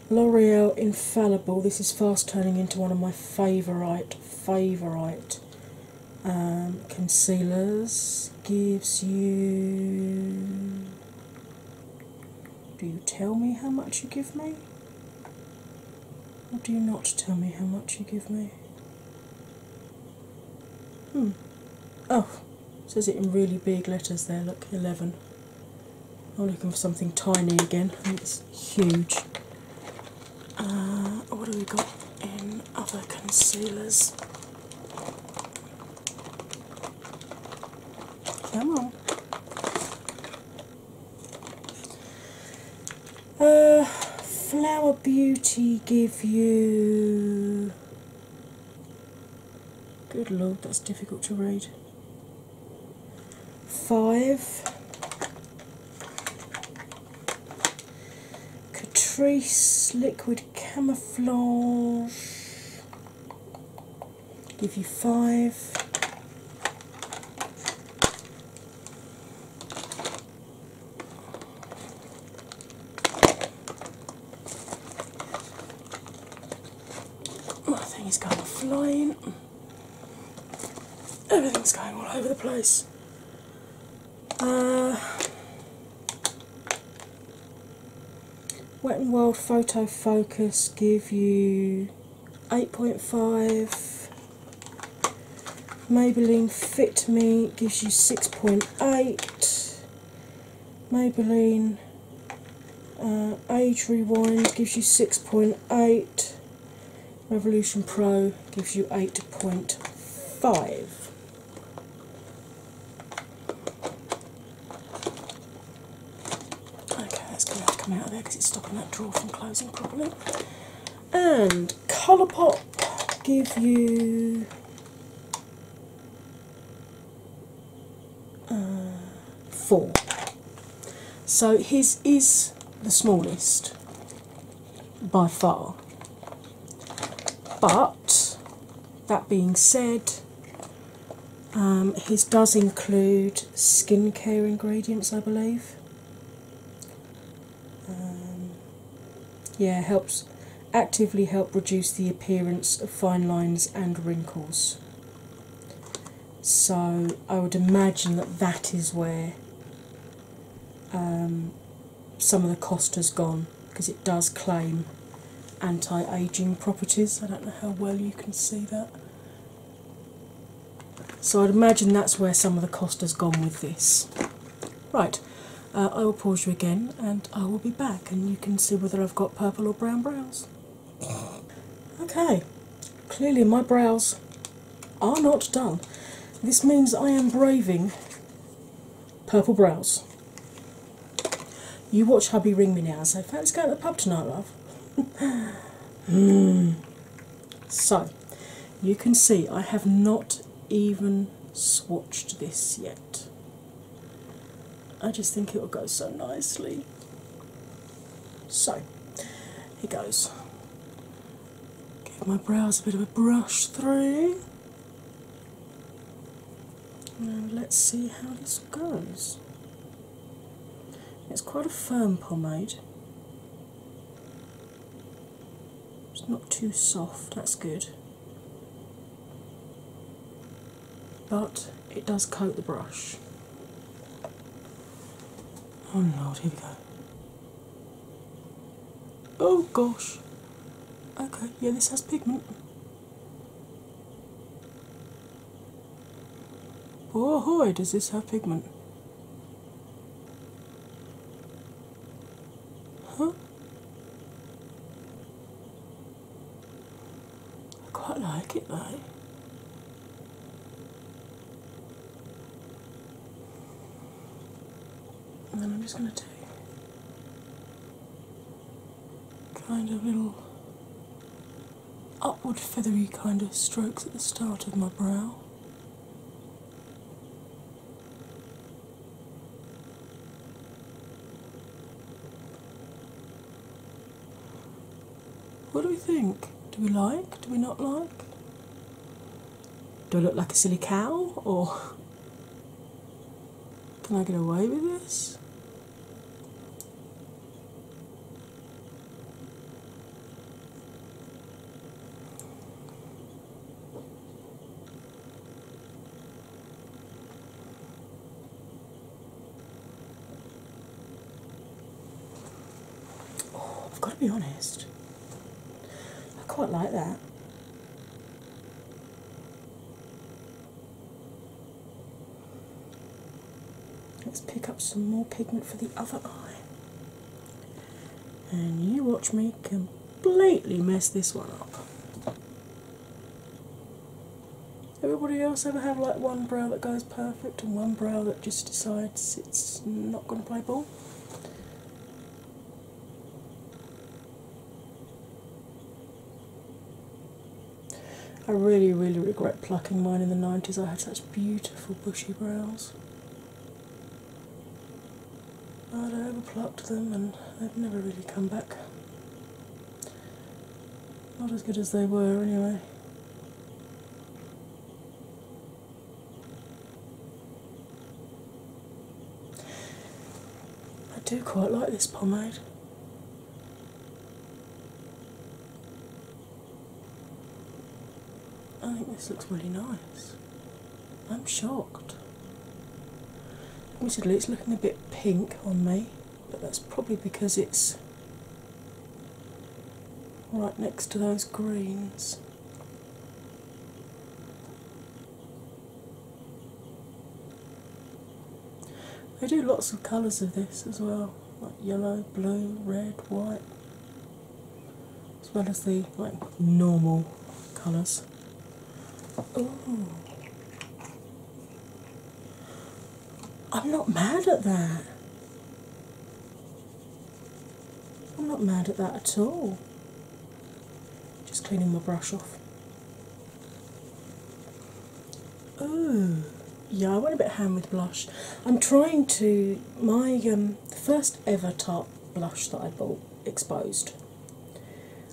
Speaker 1: L'Oreal Infallible. This is fast turning into one of my favourite, favourite um, concealers. Gives you. Do you tell me how much you give me? Or do you not tell me how much you give me? Hmm. Oh, says it in really big letters there. Look, 11. I'm looking for something tiny again. it's huge. Uh, what have we got in other concealers? Come on. Uh, flower Beauty give you. Good lord, that's difficult to read five Catrice liquid camouflage give you five My thing's going flying everything's going all over the place. Uh, Wet and Wild Photo Focus gives you 8.5. Maybelline Fit Me gives you 6.8. Maybelline uh, Age Rewind gives you 6.8. Revolution Pro gives you 8.5. Okay, that's going to have to come out of there because it's stopping that drawer from closing properly. And Colourpop give you. Uh, four. So his is the smallest by far. But that being said, um, his does include skincare ingredients, I believe. Um, yeah, helps actively help reduce the appearance of fine lines and wrinkles so I would imagine that that is where um, some of the cost has gone because it does claim anti aging properties. I don't know how well you can see that. So I'd imagine that's where some of the cost has gone with this. Right, uh, I will pause you again and I will be back, and you can see whether I've got purple or brown brows. Okay, clearly my brows are not done. This means I am braving purple brows. You watch hubby ring me now so let's go to the pub tonight, love. Hmm. So, you can see I have not even swatched this yet. I just think it will go so nicely. So here goes. Give my brows a bit of a brush through. And let's see how this goes. It's quite a firm pomade. It's not too soft, that's good. But it does coat the brush. Oh no! here we go. Oh gosh. Okay, yeah, this has pigment. Oh hoy, does this have pigment? Huh? I quite like it though. And I'm just going to do kind of little upward feathery kind of strokes at the start of my brow. What do we think? Do we like? Do we not like? Do I look like a silly cow or can I get away with this? Oh, I've got to be honest, I quite like that. Let's pick up some more pigment for the other eye. And you watch me completely mess this one up. Everybody else ever have like one brow that goes perfect and one brow that just decides it's not going to play ball. I really, really regret plucking mine in the 90s. I had such beautiful bushy brows. I'd overplucked them and they've never really come back. Not as good as they were, anyway. I do quite like this pomade. I think this looks really nice. I'm shocked. Admittedly, it's looking a bit pink on me, but that's probably because it's right next to those greens. They do lots of colours of this as well, like yellow, blue, red, white, as well as the like normal colours. Ooh. I'm not mad at that. I'm not mad at that at all. Just cleaning my brush off. Oh, yeah, I went a bit ham with blush. I'm trying to. My um, first ever top blush that I bought exposed.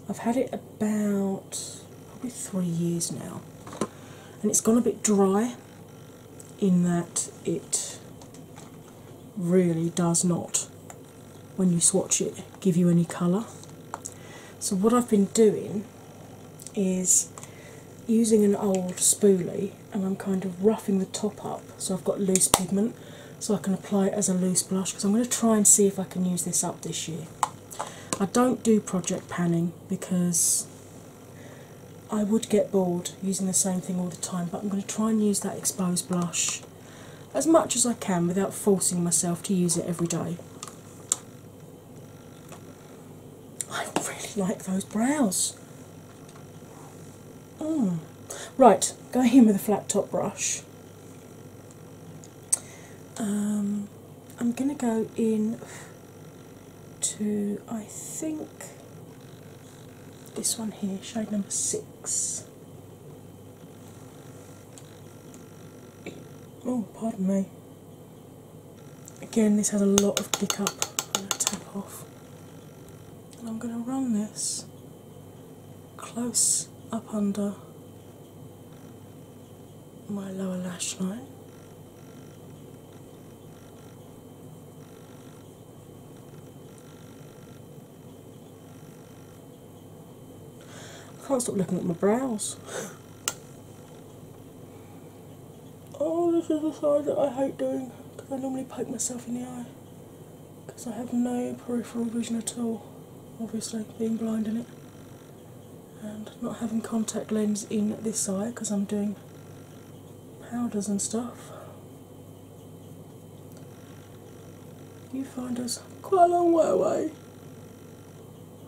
Speaker 1: I've had it about probably three years now, and it's gone a bit dry in that it really does not, when you swatch it, give you any colour. So, what I've been doing is using an old spoolie and I'm kind of roughing the top up so I've got loose pigment so I can apply it as a loose blush because I'm going to try and see if I can use this up this year. I don't do project panning because I would get bored using the same thing all the time, but I'm going to try and use that exposed blush as much as I can without forcing myself to use it every day. I really like those brows. Mm. Right, going in with a flat top brush. Um, I'm going to go in to I think this one here, shade number six. Oh, pardon me. Again, this has a lot of kick up. tap off. And I'm going to run this close up under my lower lash line can't stop looking at my brows. oh, this is the side that I hate doing because I normally poke myself in the eye because I have no peripheral vision at all, obviously, being blind in it. And not having contact lenses in this eye because I'm doing powders and stuff. You find us quite a long way away.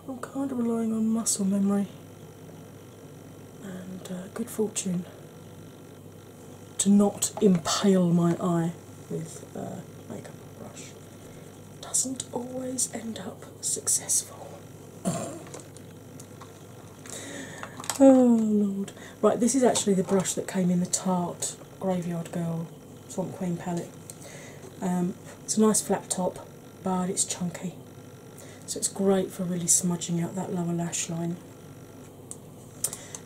Speaker 1: I'm kind of relying on muscle memory and uh, good fortune to not impale my eye with a uh, makeup brush. Doesn't always end up successful. Oh lord. Right, this is actually the brush that came in the Tart Graveyard Girl Swamp Queen palette. Um, it's a nice flat top, but it's chunky. So it's great for really smudging out that lower lash line.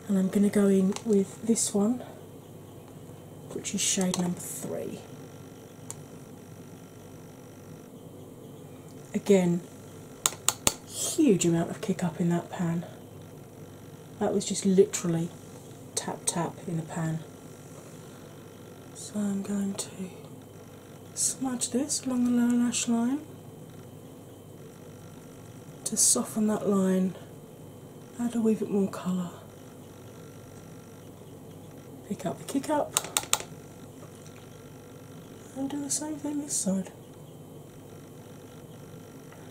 Speaker 1: And I'm going to go in with this one, which is shade number three. Again, huge amount of kick up in that pan. That was just literally tap tap in the pan. So I'm going to smudge this along the lower lash line to soften that line, add a wee bit more colour, pick up the kick up, and do the same thing this side.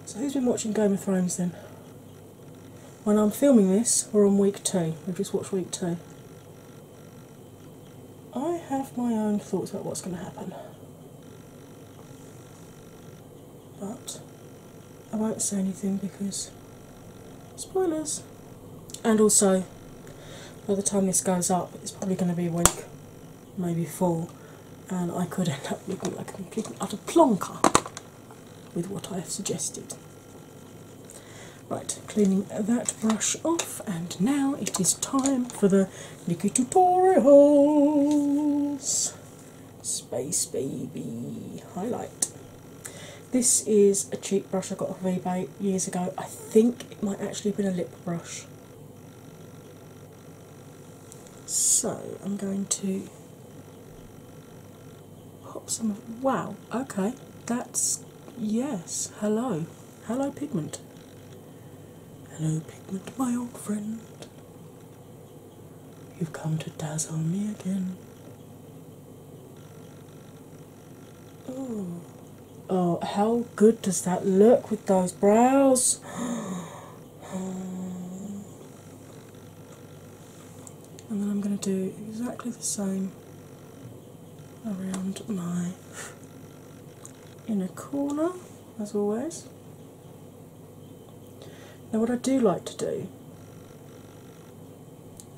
Speaker 1: So, who's been watching Game of Thrones then? When I'm filming this, we're on week two. We've just watched week two. I have my own thoughts about what's going to happen, but I won't say anything because spoilers. And also, by the time this goes up, it's probably going to be week maybe four, and I could end up looking like a complete utter plonker with what I have suggested. Right, cleaning that brush off, and now it is time for the Nikki Tutorials Space Baby Highlight. This is a cheap brush I got off eBay years ago. I think it might actually have been a lip brush. So I'm going to pop some of wow, okay, that's yes, hello, hello pigment. Hello pigment, my old friend. You've come to dazzle me again. Oh, oh, how good does that look with those brows? And then I'm going to do exactly the same around my inner corner, as always. Now, what I do like to do,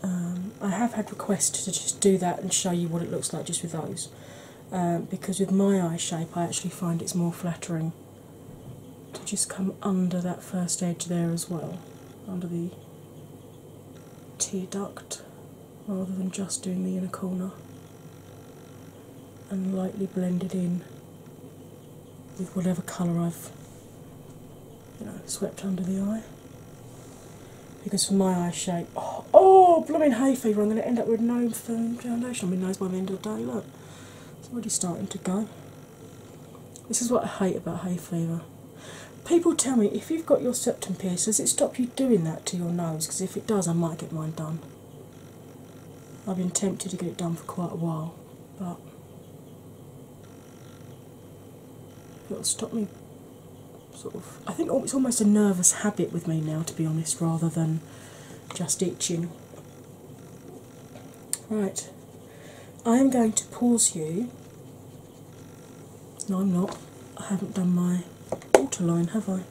Speaker 1: um, I have had requests to just do that and show you what it looks like just with those. Uh, because with my eye shape, I actually find it's more flattering to just come under that first edge there as well, under the tear duct, rather than just doing the inner corner and lightly blended in with whatever colour I've you know swept under the eye. Because for my eye shape, oh, oh blooming hay fever, I'm going to end up with no firm um, foundation. I mean, nose by the end of the day, look, it's already starting to go. This is what I hate about hay fever. People tell me if you've got your septum pierced, does it stop you doing that to your nose? Because if it does, I might get mine done. I've been tempted to get it done for quite a while, but it'll stop me sort of. I think it's almost a nervous habit with me now, to be honest, rather than just itching. Right, I am going to pause you. No, I'm not. I haven't done my waterline, have I?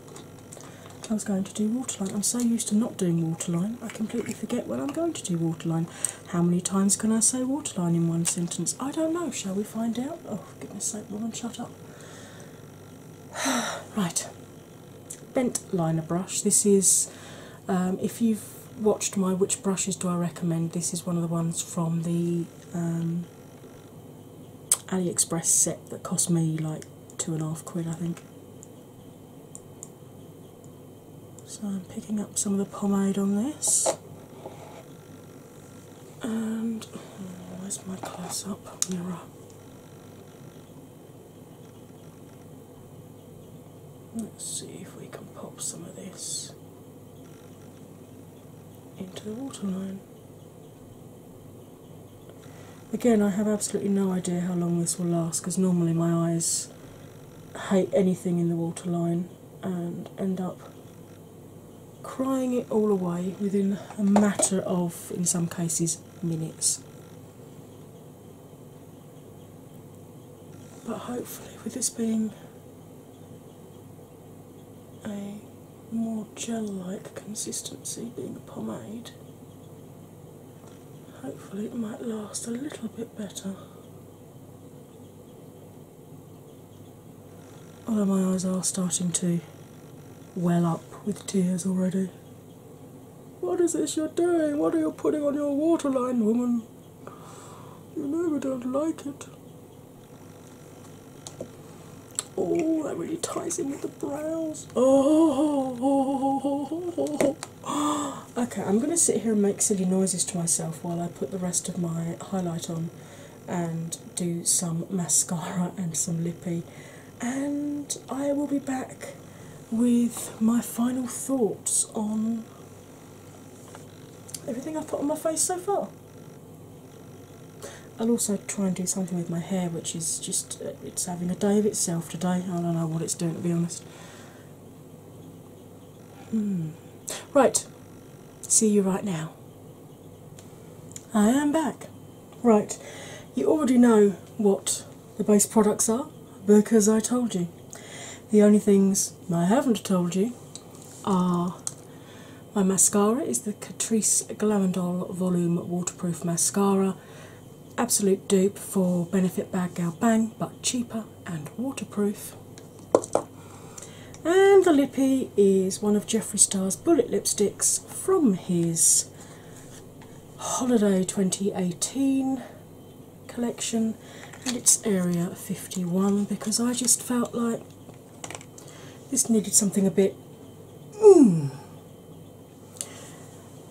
Speaker 1: I was going to do waterline. I'm so used to not doing waterline, I completely forget when I'm going to do waterline. How many times can I say waterline in one sentence? I don't know. Shall we find out? Oh, goodness sake, woman, shut up. right, bent liner brush. This is, um, if you've watched my which brushes do I recommend, this is one of the ones from the um, AliExpress set that cost me like two and a half quid, I think. So I'm picking up some of the pomade on this. And oh, where's my close up mirror? Let's see if we can pop some of this into the waterline. Again, I have absolutely no idea how long this will last because normally my eyes hate anything in the waterline and end up crying it all away within a matter of, in some cases, minutes. But hopefully, with this being a more gel like consistency being a pomade, hopefully, it might last a little bit better. Although my eyes are starting to well up with tears already. What is this you're doing? What are you putting on your waterline, woman? You know we don't like it. Oh, that really ties in with the brows. Oh, okay. I'm gonna sit here and make silly noises to myself while I put the rest of my highlight on and do some mascara and some lippy and I will be back with my final thoughts on everything I've put on my face so far. I'll also try and do something with my hair, which is just uh, it's having a day of itself today. I don't know what it's doing to be honest. Hmm. Right, see you right now. I am back. Right, you already know what the base products are because I told you. The only things I haven't told you are my mascara is the Catrice Glamandol Volume Waterproof Mascara. Absolute dupe for Benefit Bad Bang, but cheaper and waterproof. And the lippy is one of Jeffree Star's bullet lipsticks from his Holiday 2018 collection, and it's Area 51 because I just felt like this needed something a bit. Hmm.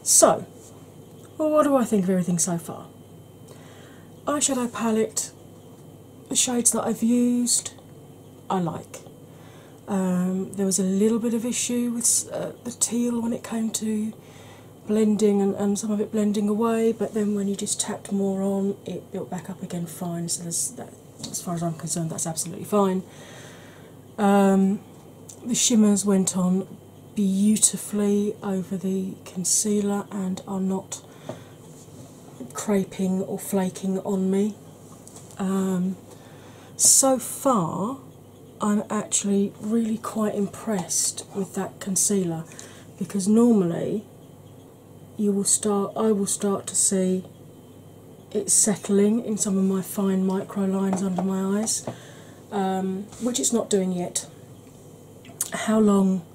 Speaker 1: So, well, what do I think of everything so far? Eyeshadow palette, the shades that I've used, I like. Um, there was a little bit of issue with uh, the teal when it came to blending and, and some of it blending away, but then when you just tapped more on, it built back up again fine. So, as far as I'm concerned, that's absolutely fine. Um, the shimmers went on beautifully over the concealer and are not creping or flaking on me. Um, so far, I'm actually really quite impressed with that concealer because normally you will start I will start to see it's settling in some of my fine micro lines under my eyes, um, which it's not doing yet. How long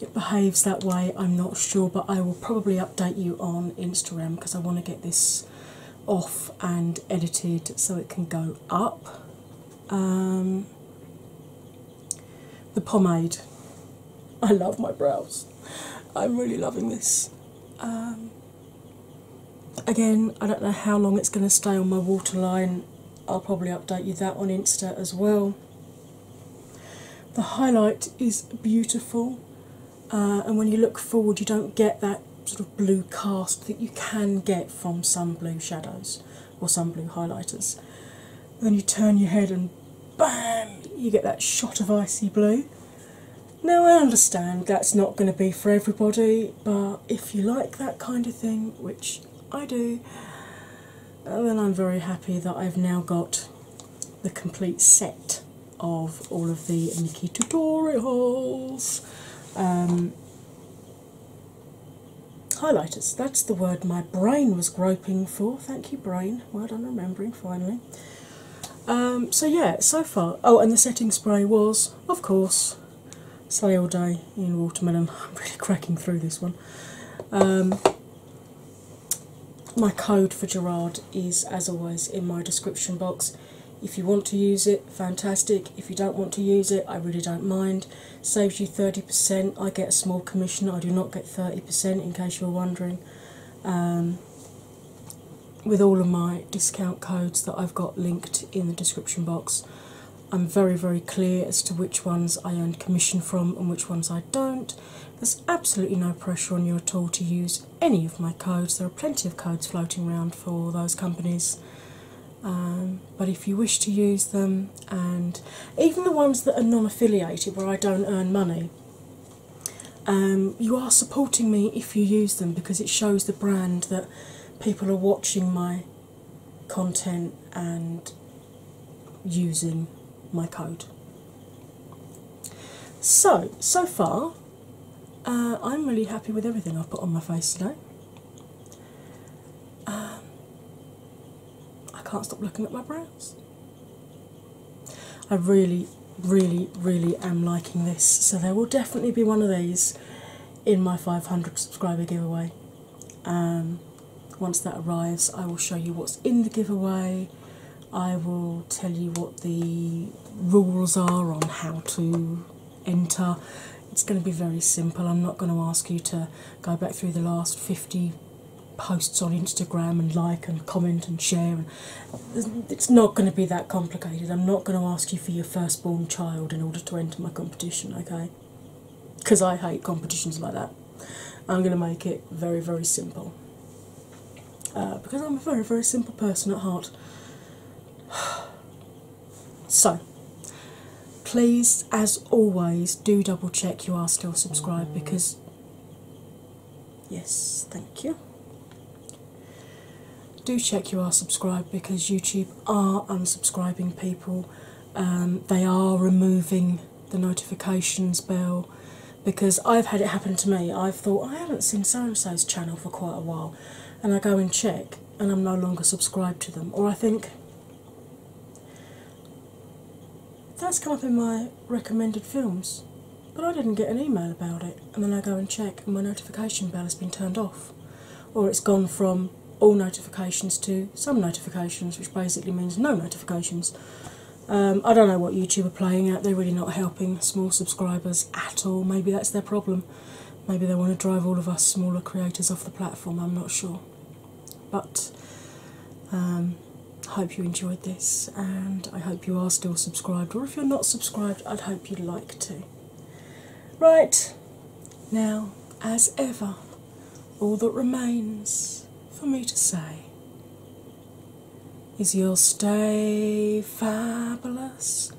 Speaker 1: it behaves that way, I'm not sure, but I will probably update you on Instagram because I want to get this off and edited so it can go up. Um, the pomade. I love my brows. I'm really loving this. Um, again, I don't know how long it's going to stay on my waterline. I'll probably update you that on Insta as well. The highlight is beautiful, uh, and when you look forward, you don't get that sort of blue cast that you can get from some blue shadows or some blue highlighters. Then you turn your head and bam, you get that shot of icy blue. Now, I understand that's not going to be for everybody, but if you like that kind of thing, which I do, uh, then I'm very happy that I've now got the complete set of all of the Nikki tutorials. Um, Highlighters, that's the word my brain was groping for. Thank you, brain. Well done remembering finally. Um, so, yeah, so far. Oh, and the setting spray was, of course, Slay All Day in Watermelon. I'm really cracking through this one. Um, my code for Gerard is, as always, in my description box. If you want to use it, fantastic. If you don't want to use it, I really don't mind. Saves you 30%. I get a small commission, I do not get 30% in case you're wondering. Um, with all of my discount codes that I've got linked in the description box, I'm very, very clear as to which ones I earn commission from and which ones I don't. There's absolutely no pressure on you at all to use any of my codes. There are plenty of codes floating around for those companies. Um, but if you wish to use them, and even the ones that are non affiliated where I don't earn money, um, you are supporting me if you use them because it shows the brand that people are watching my content and using my code. So, so far, uh, I'm really happy with everything I've put on my face today. Um, I can't stop looking at my brows. I really, really, really am liking this, so there will definitely be one of these in my 500 subscriber giveaway. Um, once that arrives, I will show you what's in the giveaway. I will tell you what the rules are on how to enter. It's going to be very simple. I'm not going to ask you to go back through the last 50 posts on Instagram and like and comment and share. it's not going to be that complicated. I'm not going to ask you for your firstborn child in order to enter my competition, okay? Because I hate competitions like that. I'm going to make it very, very simple. Uh, because I'm a very, very simple person at heart. So, please, as always, do double check you are still subscribed because, yes, thank you. Do check you are subscribed because YouTube are unsubscribing people, um, they are removing the notifications bell. Because I've had it happen to me, I've thought I haven't seen so so's channel for quite a while, and I go and check, and I'm no longer subscribed to them, or I think that's come up in my recommended films, but I didn't get an email about it, and then I go and check, and my notification bell has been turned off, or it's gone from all notifications to some notifications, which basically means no notifications. Um, I don't know what YouTube are playing at, they're really not helping small subscribers at all. Maybe that's their problem. Maybe they want to drive all of us smaller creators off the platform, I'm not sure. But I um, hope you enjoyed this, and I hope you are still subscribed, or if you're not subscribed, I'd hope you'd like to. Right, now, as ever, all that remains for me to say is you'll stay fabulous